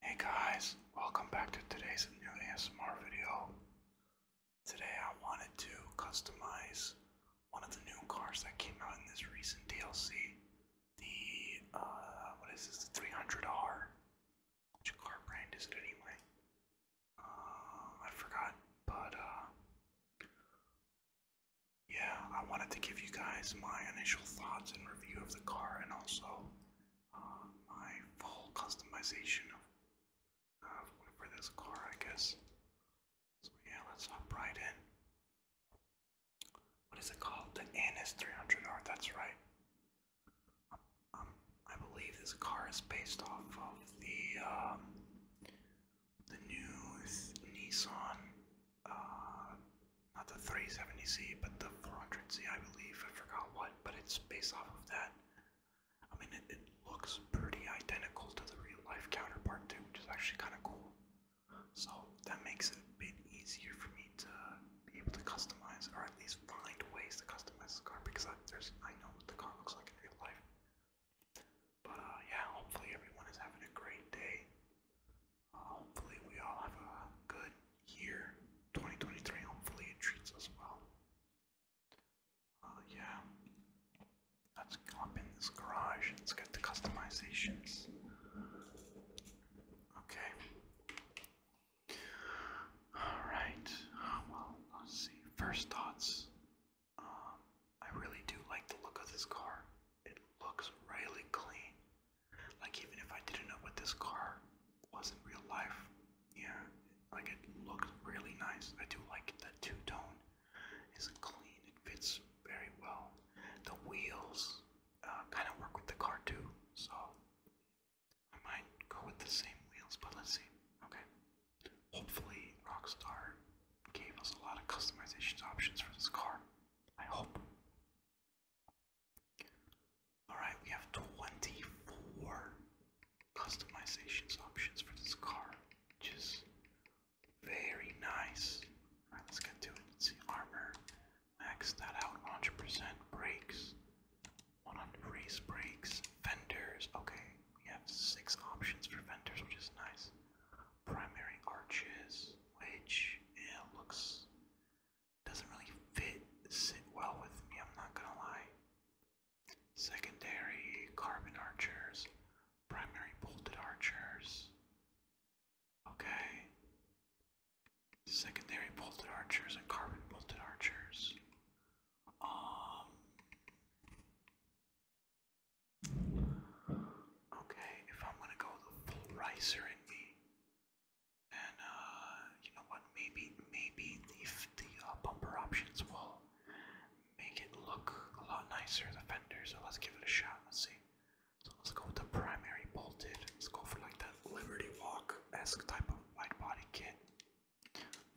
Hey guys, welcome back to today's new ASMR video. Today I wanted to customize one of the new cars that came out in this recent DLC. The, uh, what is this, the 300R? Which car brand is it anyway? Uh, I forgot, but, uh, yeah, I wanted to give you guys my initial thoughts and review of the car, and also uh, my full customization of, uh, this car, I guess. So yeah, let's hop right in. What is it called? The Anis 300R. That's right. Um, I believe this car is based off of the um, the new Nissan, uh, not the 370Z, but the 400Z, I believe. I forgot what, but it's based off of that. I mean, it, looks pretty identical to the real life counterpart, too, which is actually kind of cool. So that makes it a bit easier for me to be able to customize, or at least find ways to customize the car, because I, there's, I know what the car looks like in real life. But uh, yeah, hopefully everyone is having a great day. Hopefully, we all have a good year 2023. Hopefully, it treats us well. Uh, yeah, let's go in this garage. Let's get the customizations. Okay. All right. Well, let's see. First thoughts. Um, I really do like the look of this car. It looks really clean. Like even if I didn't know what this car was in real life, yeah, like it looks really nice. I do like the two-tone. It's clean. It fits very well. The wheels uh, kind of work with the car too, so I might go with the same wheels. But let's see. Okay. Hopefully, Rockstar gave us a lot of customization options for this car. I hope. Alright, we have 24 customizations options for this car, which is very nice. Alright, let's get to it. Let's see, armor, max that out 100%, brakes, 100 race brakes, fenders. Okay, we have six options for fenders, which is nice primary arches, which looks doesn't really fit sit well with me. I'm not gonna lie. Secondary carbon archers, primary bolted archers. Okay. Secondary bolted archers and carbon bolted archers. Um Okay, if I'm gonna go the full riser in me, and uh, you know what? Maybe, maybe the the uh, bumper options will make it look a lot nicer. The fender. So let's give it a shot. Let's see. So let's go with the primary bolted. Let's go for like that Liberty Walk esque type of wide body kit.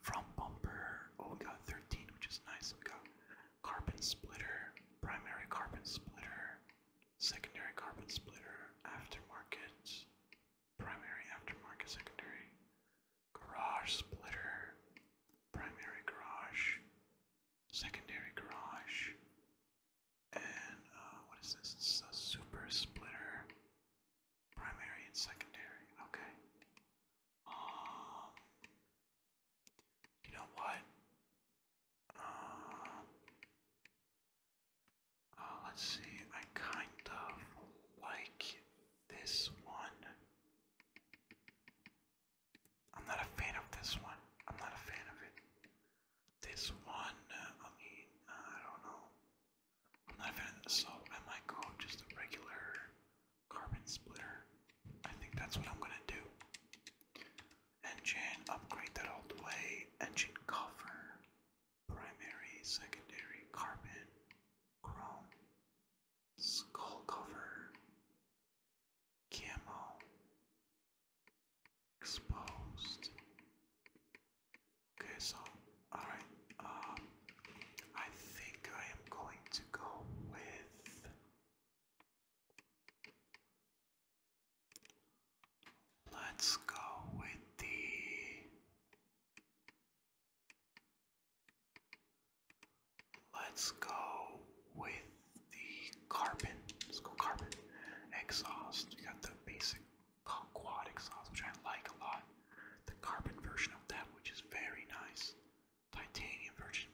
From bumper, oh we got 13, which is nice. We got carbon splitter, primary carbon splitter, secondary carbon splitter, aftermarket, primary, aftermarket, secondary, garage splitter, primary garage, secondary garage, and uh, what is this? It's a super splitter, primary and secondary. Okay. Um, you know what? Uh, uh, let's see, I kind of like this one. I'm not a fan of this one. I'm not a fan of it. This one, uh, I mean, I don't know. I'm not a fan of this, so I might go just a regular. Carbon splitter. I think that's what I'm gonna do. Engine, upgrade that all the way. Engine cover. Primary, secondary, carbon, chrome, skull cover, camo, exposed. Okay, so, alright, um, uh, I think I am going to go with Let's go with the Let's go with the carbon. Let's go carbon exhaust. You got the basic quad exhaust, which I like a lot. The carbon version of that, which is very nice. Titanium Virgin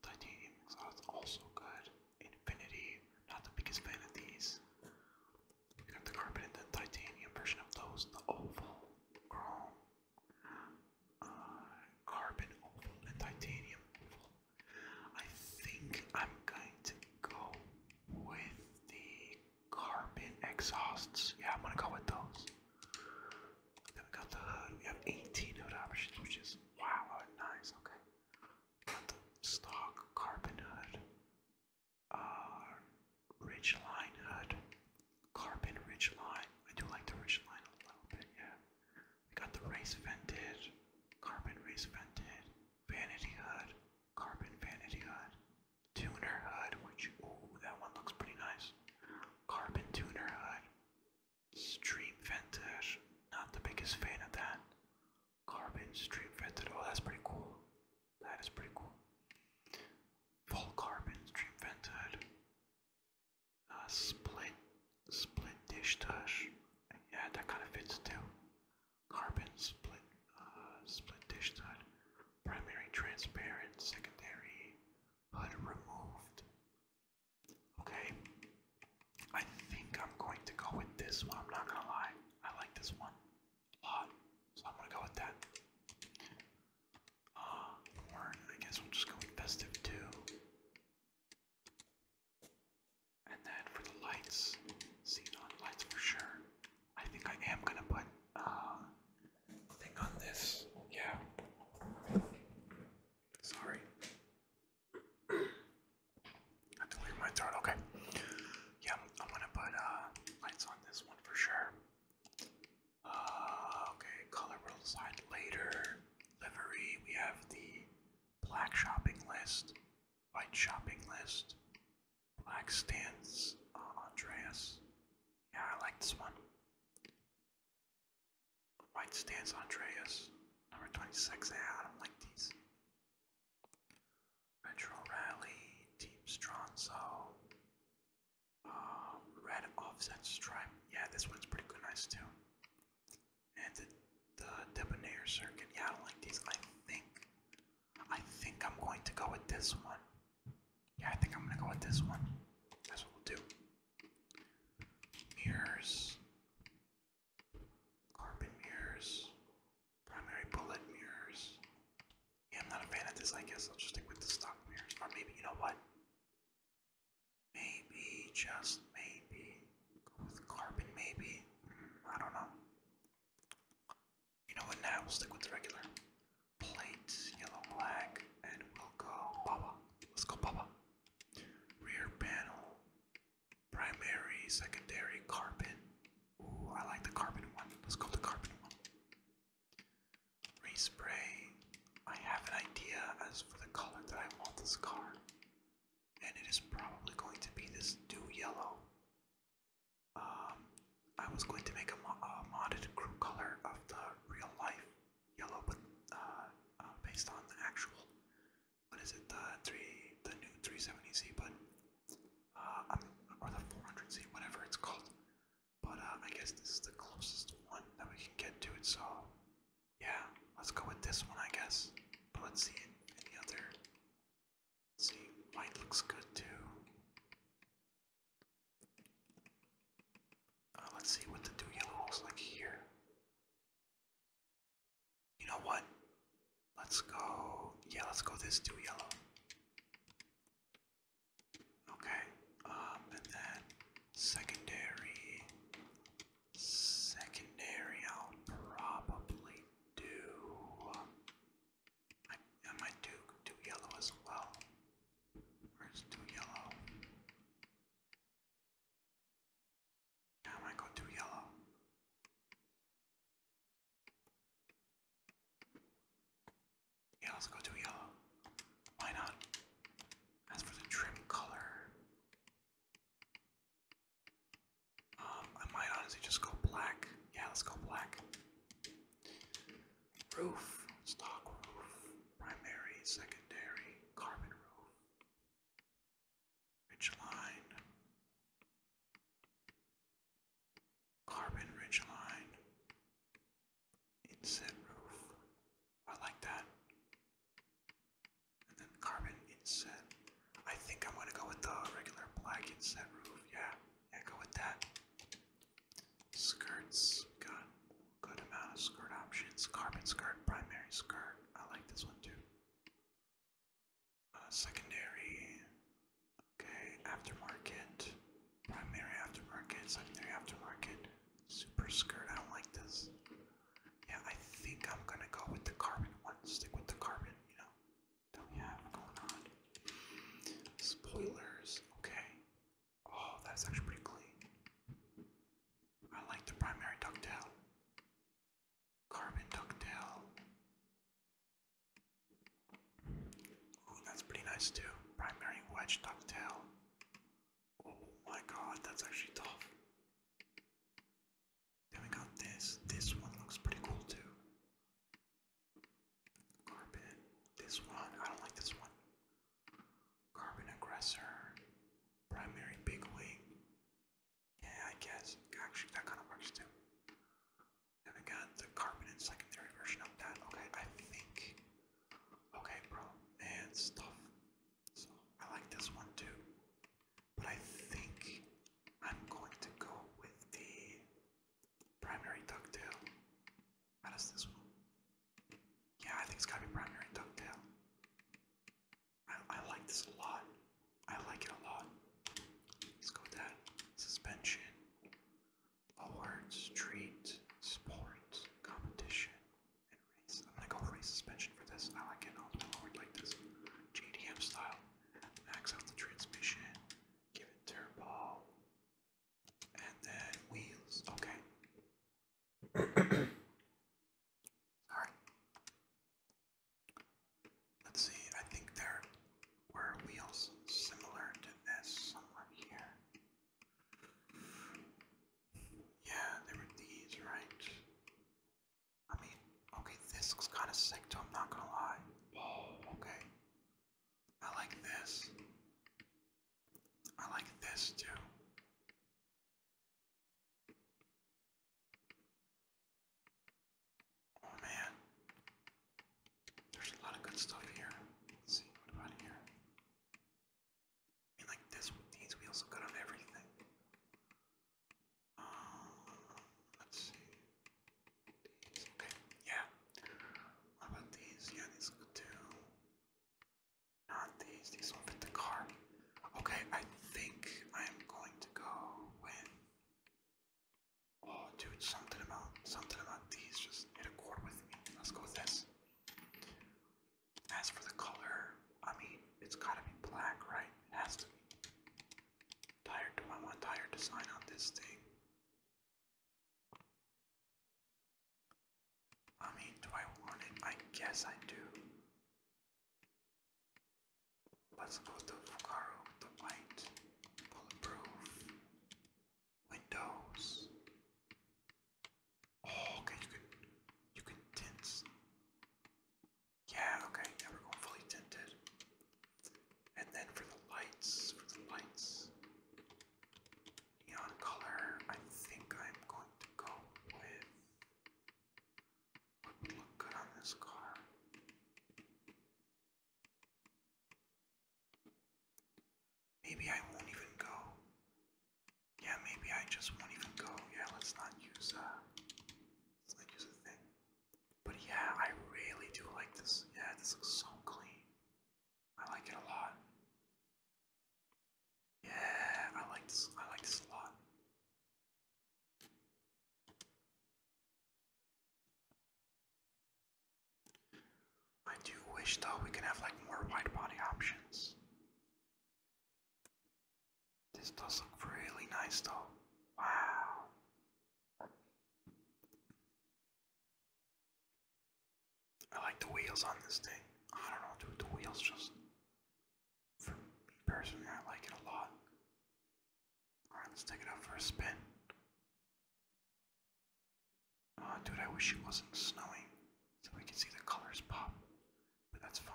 Titanium exhaust also good. Infinity, not the biggest fan of these. You got the carbon and the titanium version of those, the oval, chrome, uh, carbon oval, and titanium I think I'm going to go with the carbon exhausts. Yeah, I'm gonna go with those. Then we got the hood. We have 18 hood options, which is wow, oh, nice. Okay. Got the stock carbon hood, uh, ridge hood, carbon ridge I do like the ridge a little bit, yeah. We got the race vented, carbon race vented, vanity hood, carbon vanity hood, tuner hood, which, ooh, that one looks pretty nice. Carbon tuner hood. Stream vented, not the biggest fan of that. Carbon stream vented, oh, that's pretty cool. That is pretty cool. Full carbon stream vented. Uh, split, split dish tush. Yeah, that kind of fits too. Carbon split, uh, split dish tush. Primary transparent, secondary unremoved. Okay, I think I'm going to go with this one. I'm not gonna lie, I like this one a lot, so I'm gonna go with that. Uh, Warren, I guess we'll just go festive too. And then for the lights, see lights for sure. I think I am gonna put uh thing on this. Yeah. Sorry. I have my throat. Okay. Yeah, I'm, gonna put uh lights on this one for sure. Uh, okay, color will decide later. Livery, we have the black shopping list, white shopping list, Black Stance uh, Andreas. Yeah, I like this one. White Stance Andreas. Number 26. Yeah, I don't like these. Retro Rally. Team Stronzo. Uh, Red Offset Stripe. Yeah, this one's pretty good. Nice too. And the, the Debonair Circuit. Yeah, I like these. I think I think I'm going to go with this one. Yeah, I think I'm gonna go with this one. That's what we'll do. Mirrors. Carbon mirrors. Primary bullet mirrors. Yeah, I'm not a fan of this, I guess. I'll just stick with the stock mirrors. Or maybe, you know what? Maybe, just maybe. Go with carbon, maybe. Mm, I don't know. You know what now? We'll stick with the regular. Plate, yellow, black, and we'll go Baba. Let's go Baba. Rear panel, primary, secondary, carbon. Ooh, I like the carbon one. Let's go the carbon one. Respray. I have an idea as for the color that I want this car. And it is probably going to be this dew yellow um, I was going to make a, a modded crew color of the real life yellow, but uh, uh, based on the actual, what is it, the three, the new 370 C, but uh, or the 400Z, whatever it's called. But uh, I guess this is the closest one that we can get to it. So yeah, let's go with this one, I guess. But let's see any other Let's see, white looks good too. Uh, let's see what the two yellow holes like here. You know what? Let's go. Yeah, let's go this two yellow. Okay, um, and then secondary, secondary. I'll probably do. I, might do do yellow as well. Where's do yellow? I might go do yellow. Yeah, go do yellow. Why not? As for the trim color, um, I might honestly just go black. Yeah, let's go black. Roof, stock roof, primary, secondary, carbon roof, ridge line, carbon ridge line, inset roof. I like that. And then carbon inset. I think I'm gonna go with the regular black inset roof. Yeah echo with that. Skirts, got good amount of skirt options. Carbon skirt, primary skirt. I like this one too. Uh, secondary, okay, aftermarket, primary aftermarket, secondary aftermarket, super skirt. I don't like this. Yeah, I think I'm gonna go with the carbon one. Stick with the carbon, you know that we have going on. Spoilers, okay. Oh, that's actually pretty clean. I like the primary ducktail. Carbon ducktail. Ooh, that's pretty nice too. Primary wedge ducktail. Oh my god, that's actually tough. Then we got this. This one looks pretty cool too. Carbon. This one. I don't like this one. Carbon aggressor. Primary big wing. Yeah, I guess. Actually, that kind of works too. Then we got the carbon and secondary version of that. Okay, I think. Okay, bro. Man, stuff. So I like this one too. But I think I'm going to go with the primary ducktail. How does this one? Yeah, I think it's gotta be primary ducktail. I, I like this a lot. I like it a lot. Let's go with that. Suspension, awards, treat, sport, competition, and race. I'm gonna go race suspension for this. I like it. I'll forward like this. JDM style max out the transmission, give it turbo, and then wheels. Okay. Alright. Let's see, I think there were wheels similar to this somewhere here. Yeah, there were these, right? I mean, okay, this looks kind of sick too, I'm not gonna lie. okay. I like this. I like this too. Oh man. There's a lot of good stuff here. see, what about here? I mean like this these wheels look good on everything. Um, let's see. These. Okay, yeah. What about these? Yeah, these look too. Not these. These don't fit the car. Okay, I think I'm going to go with. Oh, dude, something about something about these just hit a chord with me. Let's go with this. As for the color, I mean, it's gotta be black, right? It has to be. Tired, do I want Tired to sign on this thing? I mean, do I want it? I guess I do. Let's go to Fukaro, the white, bulletproof, windows. Oh, okay, you can, you can tint. Yeah, okay, we're going fully tinted. And then for the lights, for the lights, neon color, I think I'm going to go with would look good on this car. Maybe I won't even go. Yeah, maybe I just won't even go. Yeah, let's not use uh it's like just a thing. But yeah, I really do like this. Yeah, this looks so clean. I like it a lot. Yeah, I like this. I like this a lot. I do wish though we could have like more wide body options. This does look really nice though. Wow. I like the wheels on this thing. I don't know, dude. The wheels just. For me personally, I like it a lot. Alright, let's take it out for a spin. Oh, dude, I wish it wasn't snowing so we could see the colors pop. But that's fine.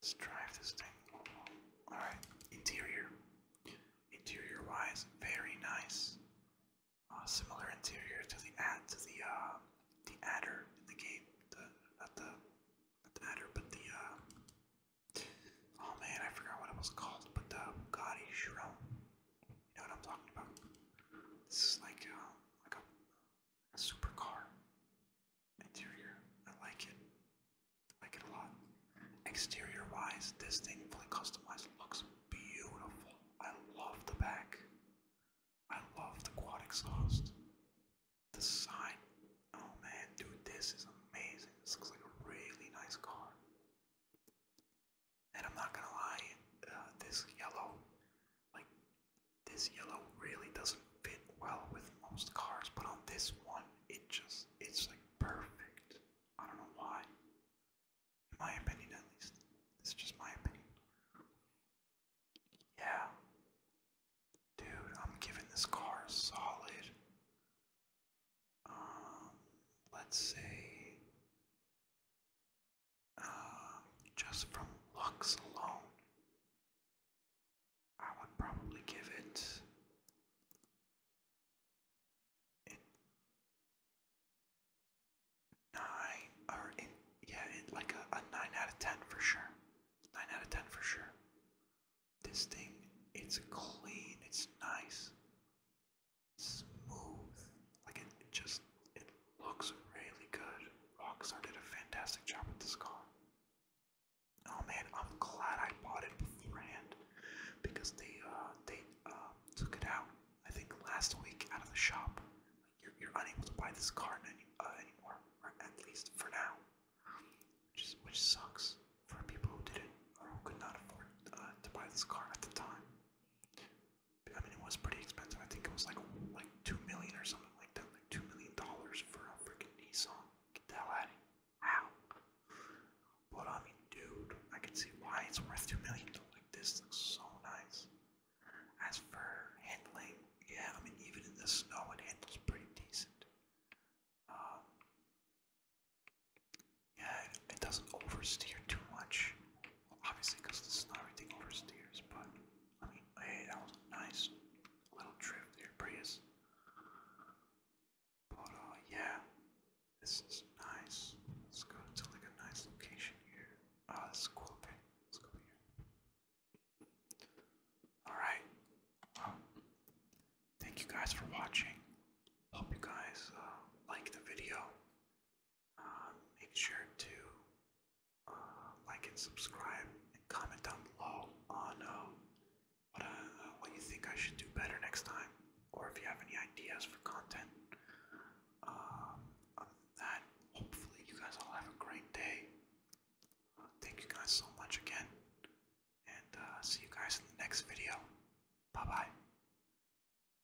Let's drive this thing. Alright, interior. Interior wise, very nice. Uh, similar interior to the ad to the uh, the adder in the game. not the not the adder, but the uh, oh man, I forgot what it was called, but the Bugatti Chiron. You know what I'm talking about? This is like uh, like a a car interior. I like it. like it a lot. Exterior wise, this thing fully customized looks beautiful. I love the back. I love the quad exhaust. The sign. Oh man, dude, this is amazing. This looks like a really nice car. And I'm not gonna lie, uh, this yellow like, this yellow really doesn't fit well with most cars, but on this one, it just, it's like perfect. I don't know why. In my opinion, at least. It's just my opinion. Yeah. Dude, I'm giving this car solid. Um, let's say uh, just from looks alone, I would probably give it. nine or yeah, like a, nine out of ten for sure. Nine out of ten for sure. This thing, it's clean. It's nice. smooth. Like it, just Looks really good. Rockstar did a fantastic job with this car. Oh man, I'm glad I bought it beforehand because they uh, they uh, took it out. I think last week out of the shop. You're, you're unable to buy this car any, uh, anymore, or at least for now, which is, which sucks for people who didn't or who could not afford uh, to buy this car at the time. I mean, it was pretty expensive. I think it was like like two million or something like that, like two million dollars for a freaking Nissan. Get the hell out of How? But I mean, dude, I can see why it's worth two million. Like this looks so nice. As for handling, yeah, I mean, even in the snow, it handles pretty decent. Um, yeah, it doesn't oversteer too much. Obviously, because this the snow everything oversteers, but I mean, hey, that was a nice little trip there, Prius. But uh, yeah, this is nice. Let's go to like a nice location here. Ah, uh, this cool. Okay, let's go here. All right. Well, thank you guys for watching. Hope you guys uh, like the video. Um, make sure to um, like and subscribe and comment down below on uh, uh, what, you think I should do better next time, or if you have any ideas for content. Um, that, hopefully you guys all have a great day. thank you guys so much again, and uh, see you guys in the next video. Bye bye.